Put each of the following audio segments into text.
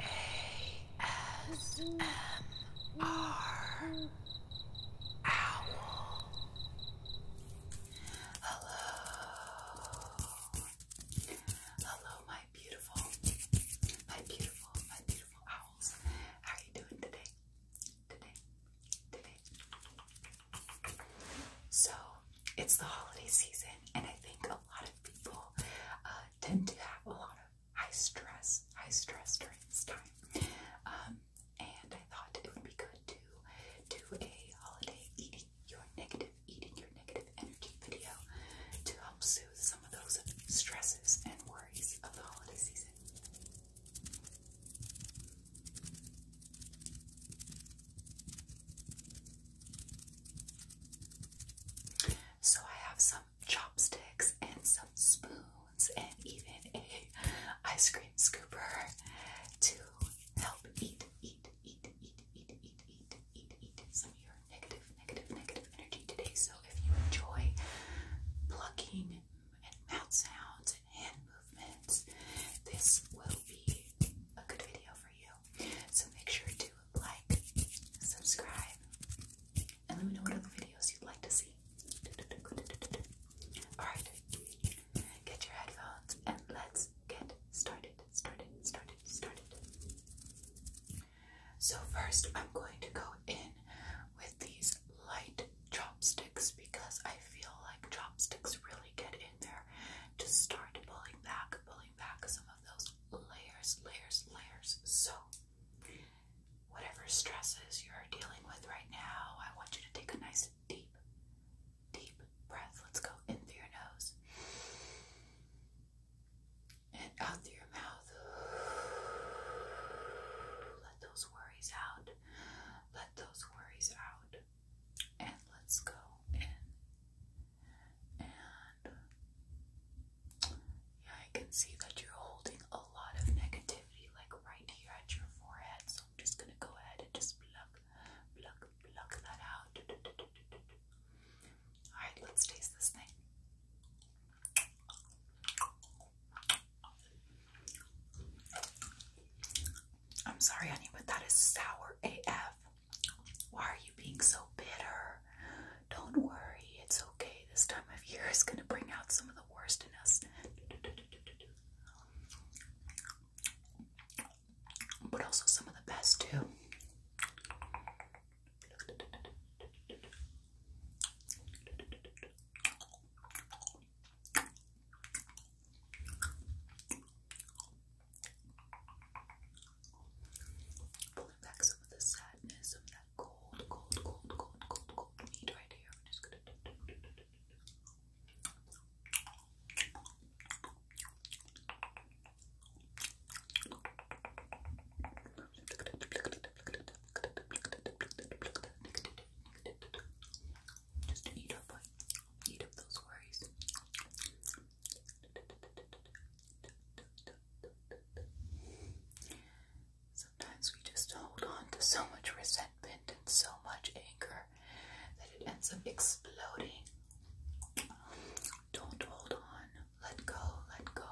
ASMR Owl. Hello. Hello, my beautiful, my beautiful, my beautiful owls. How are you doing today? Today, today. So, it's the holiday season, and I think a lot of people uh, tend to have a lot of high stress, high stress during this time. Um, and I thought it would be good to do a holiday eating your negative, eating your negative energy video to help soothe some of those stresses and worries of the holiday season. So I have some chopsticks and some spoons and even a ice cream scooper to help eat, eat, eat, eat, eat, eat, eat, eat, eat some of your negative, negative, negative energy today. So if you enjoy plucking and mouth sounds and hand movements, this will be a good video for you. So make sure to like, subscribe, and let me know what other videos you'd like to see. Alright, get your headphones and let's get started, started, started, started. So first I'm going to go in with these light chopsticks because I feel like chopsticks really get in there. Just start pulling back, pulling back some of those layers, layers, layers. So, whatever stresses you're dealing with right now, I want you to take a nice deep, deep breath. Let's go in through your nose and out through your mouth. Let those worries out. Let those worries out. And let's go in yeah, I can see that you're holding a lot of negativity, like right here at your forehead. So I'm just gonna go ahead and just pluck, pluck, pluck that out. All right, let's taste this thing. I'm sorry, honey, but that is sour AF. Why are you being so bitter? Don't worry, it's okay. This time of year is going to bring out some of the worst in us. But also some of the best, too. Pulling back some of the sadness, some of that cold, cold, cold, cold, cold, cold meat right here. I'm just gonna. eat up, eat up those worries. Sometimes we just hold on to so much resentment and so much anger that it ends up exploding. Don't hold on. Let go, let go.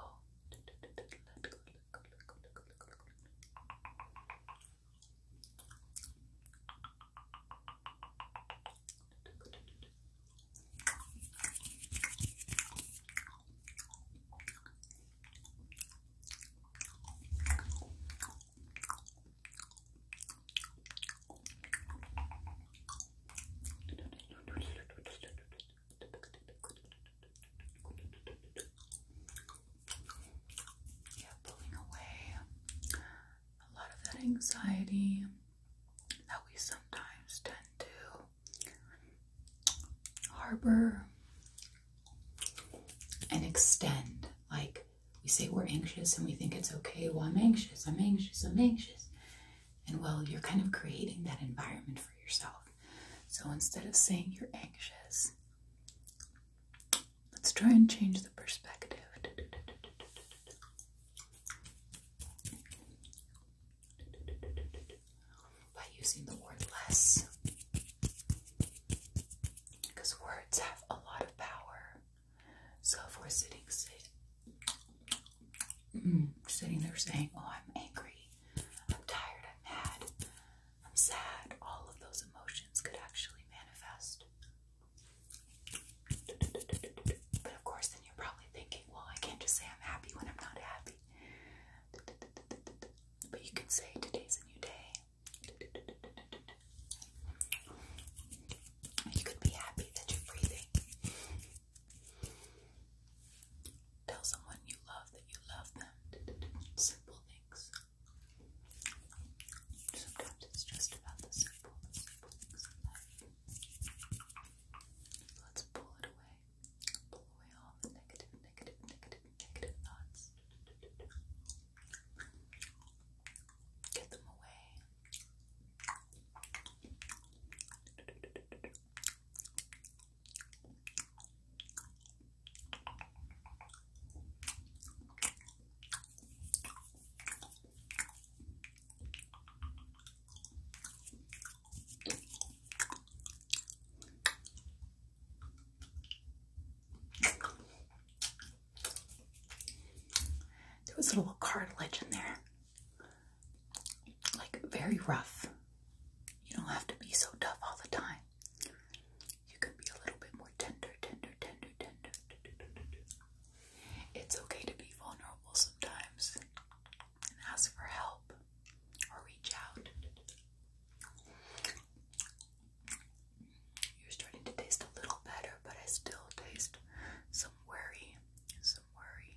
Yeah, pulling away a lot of that anxiety that we sometimes tend to harbor and extend. Like we say we're anxious and we think it's okay, well, I'm anxious, I'm anxious, I'm anxious. And well, you're kind of creating that environment for yourself. So instead of saying you're anxious, let's try and change the perspective by using the word less. Because words have a lot of power. So if we're sitting, mm, sitting there saying, Oh, I'm angry, I'm tired, I'm mad, I'm sad, all of those emotions could actually manifest but of course, then you're probably thinking, well, I can't just say I'm happy when I'm not happy. But you can say, today's a new day. You could be happy that you're breathing. Tell someone you love that you love them. Simple things. Sometimes it's just about the simple. Let's pull it away. Pull away all the negative, negative, negative, negative thoughts. Get them away. There was a little cartilage in there. Like very rough. You don't have to be so tough all the time. You can be a little bit more tender, tender, tender, tender. tender, tender, tender. It's okay to be vulnerable sometimes and ask for help or reach out. You're starting to taste a little better, but I still taste some worry. Some worry.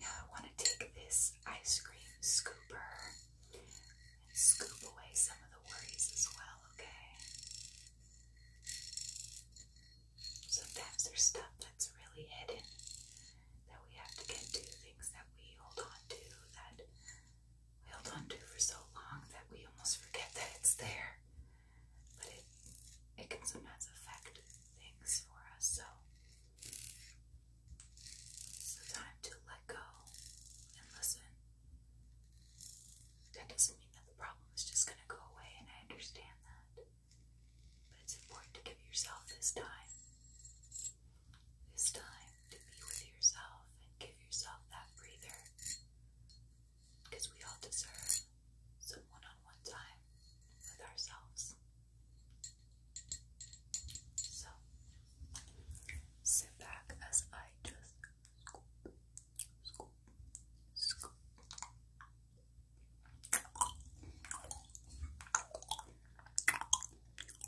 Now I want to take this ice cream scooper and scoop away some of the worries as well, okay? Sometimes there's stuff that's really hidden that we have to get to, things that we hold on to, that we hold on to for so long that we almost forget that it's there. But it, it can sometimes affect things for us, so it's the time to let go and listen. That doesn't mean that the problem is just going to go away, and I understand that. But it's important to give yourself this time. This time to be with yourself and give yourself that breather. Because we all deserve some one on one time with ourselves. So sit back as I just scoop, scoop, scoop.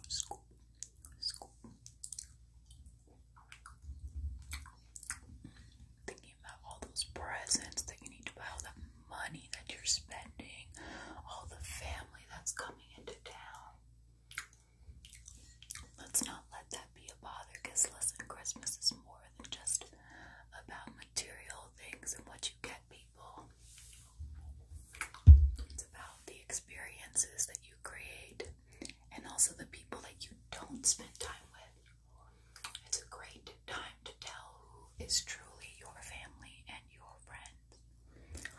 Scoop, scoop. Thinking about all those presents that you need to buy, all money that you're spending, all the family that's coming into town. Let's not let that be a bother because, listen, Christmas is more than just about material things and what you get people. It's about the experiences that you create and also the people that you don't spend time with. It's a great time to tell who is truly your family and your friends.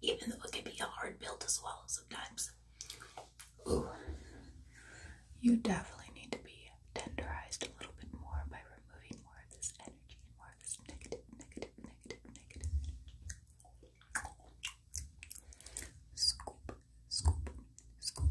Even though it can be a hard pill to swallow sometimes. You definitely need to be tenderized a little bit more by removing more of this energy and more of this negative, negative, negative, negative Scoop, scoop, scoop,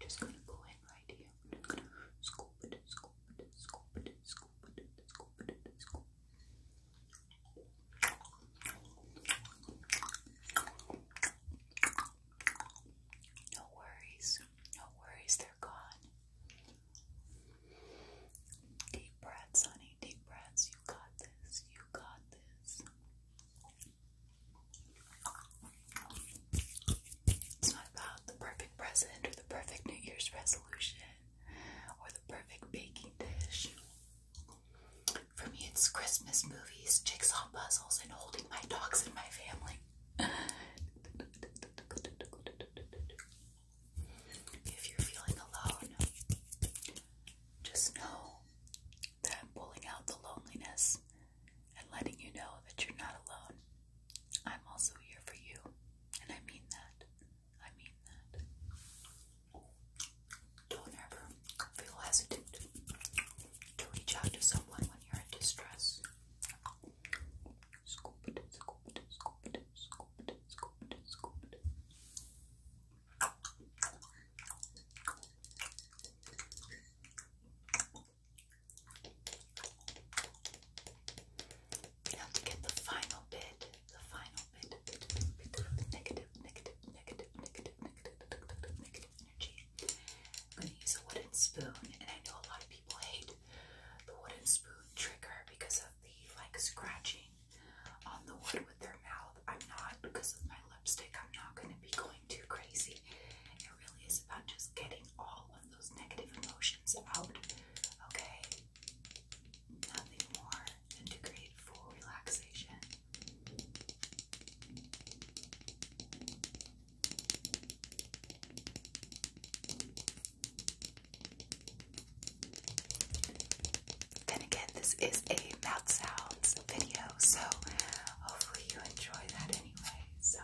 Just gonna go in right here. No worries, no worries, they're gone. Deep breaths, honey, deep breaths. You got this, you got this. It's not about the perfect present or the perfect New Year's resolution or the perfect baking dish. For me, it's Christmas movies, jigsaw puzzles, and holding my dogs and my family. If you're feeling alone, just know that I'm pulling out the loneliness and letting you know that you're not alone. I'm also here for you, and I mean that. I mean that. Don't ever feel hesitant to reach out to someone when you're in distress. Scoop it, scoop it, scoop it, scoop it, scoop it, scoop it. Now to get the final bit, the final bit, negative, negative, negative, negative, negative, negative, negative energy. I'm gonna use a wooden spoon, and I know a lot of people hate the wooden spoon trigger because of the like scratching on the wood with their mouth. I'm not because of my I'm not going to be going too crazy. It really is about just getting all of those negative emotions out, okay? Nothing more than to create full relaxation. Then again, this is a mouth sounds video, so hopefully you enjoy that anyway, so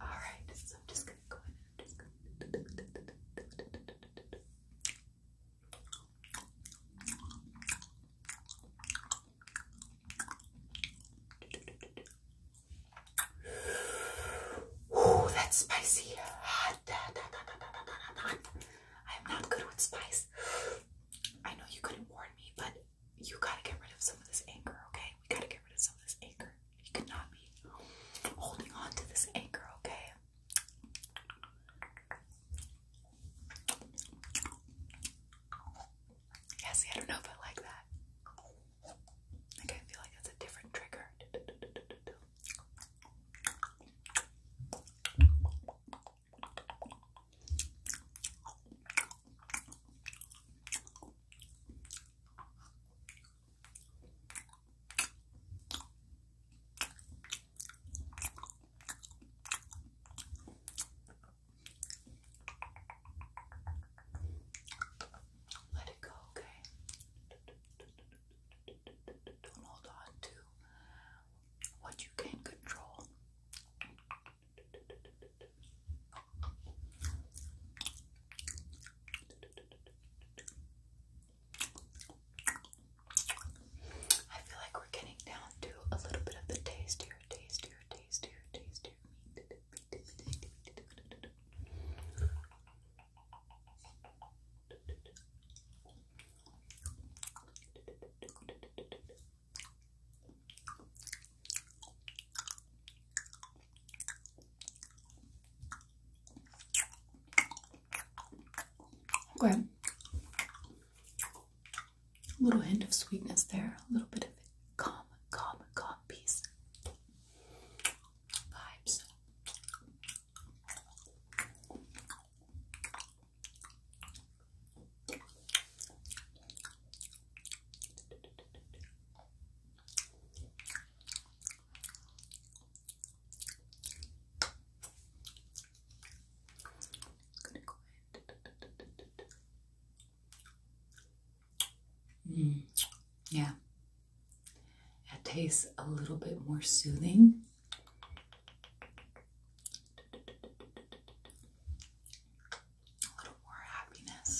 alright, so I'm just gonna go in and that's spicy. Hot. I'm not good with spice. I know you couldn't warn me, but you gotta get rid of some of this anger, okay? We gotta get rid of some of this anger. You cannot be holding on to this anger, okay? Yeah, I don't know if I like that. Like, I feel like that's a different trigger. Let it go, okay? Don't hold on to what you can't control. I feel like we're getting down to a little bit of the tastier, tastier, tastier, tastier Go ahead. A little hint of sweetness there, a little bit of calm, calm, calm peace vibes going mm. yeah, it tastes a little bit more soothing. A little more happiness.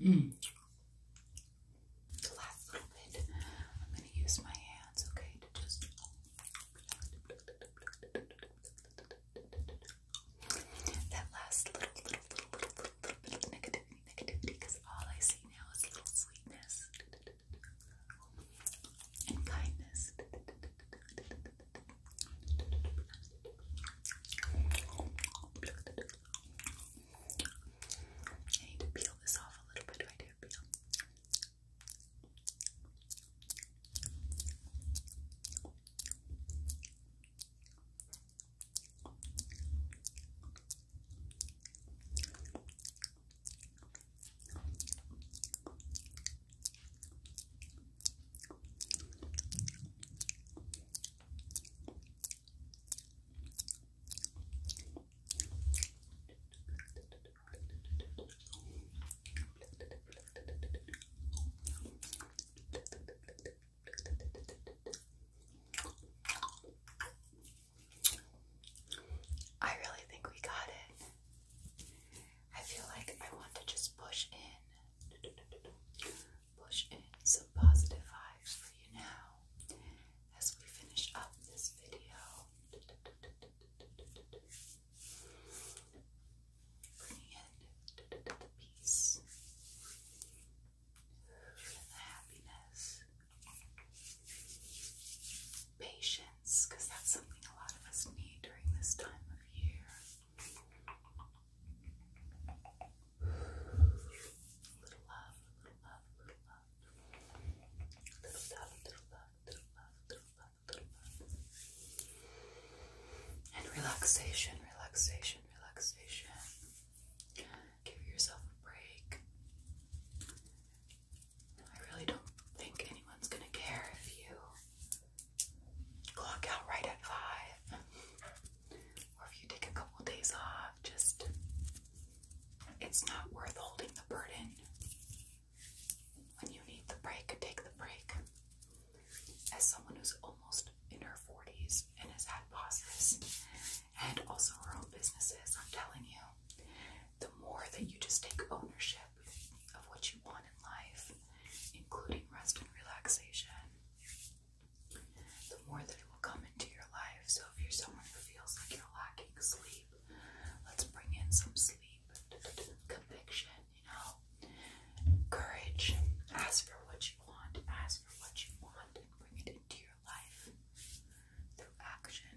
Mm the last little bit, I'm going to use my hands, okay, to just that last little, little, little, little, little, bit of negativity, because all I see now is little sweetness and kindness. I need to peel this off a little bit. I do peel. Okay. I really think we got it. I feel like I want to just push in, push in some positive vibes for you now, as we finish up this video. Bringing in the peace the happiness, patience, because that's something a lot of us need during this time of year. Little love, little love, little love. Little love, little love, little love, little love, little love. And relaxation, relaxation, relaxation. Give yourself a break. I really don't think anyone's gonna care if you clock out right at five or if you take a couple days off, just it's not worth holding the burden. When you need the break, take the break. As someone who's almost in her 40s and has had bosses and also her own businesses, I'm telling you, the more that you just take ownership of what you want in life, including rest and relaxation, the more that it will come into your life. So if you're someone who feels like you're lacking sleep, let's bring in some sleep, conviction, you know, courage. Ask for what you want, ask for what you want, bring it into your life through action.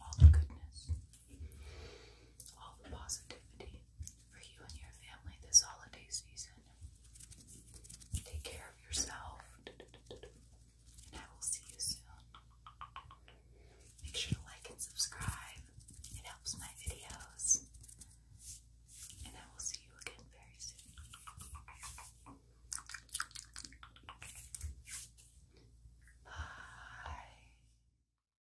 All the goodness, all the positivity, for you and your family this holiday season. Take care of yourself, and I will see you soon. Make sure to like and subscribe, it helps my videos. And I will see you again very soon. Bye.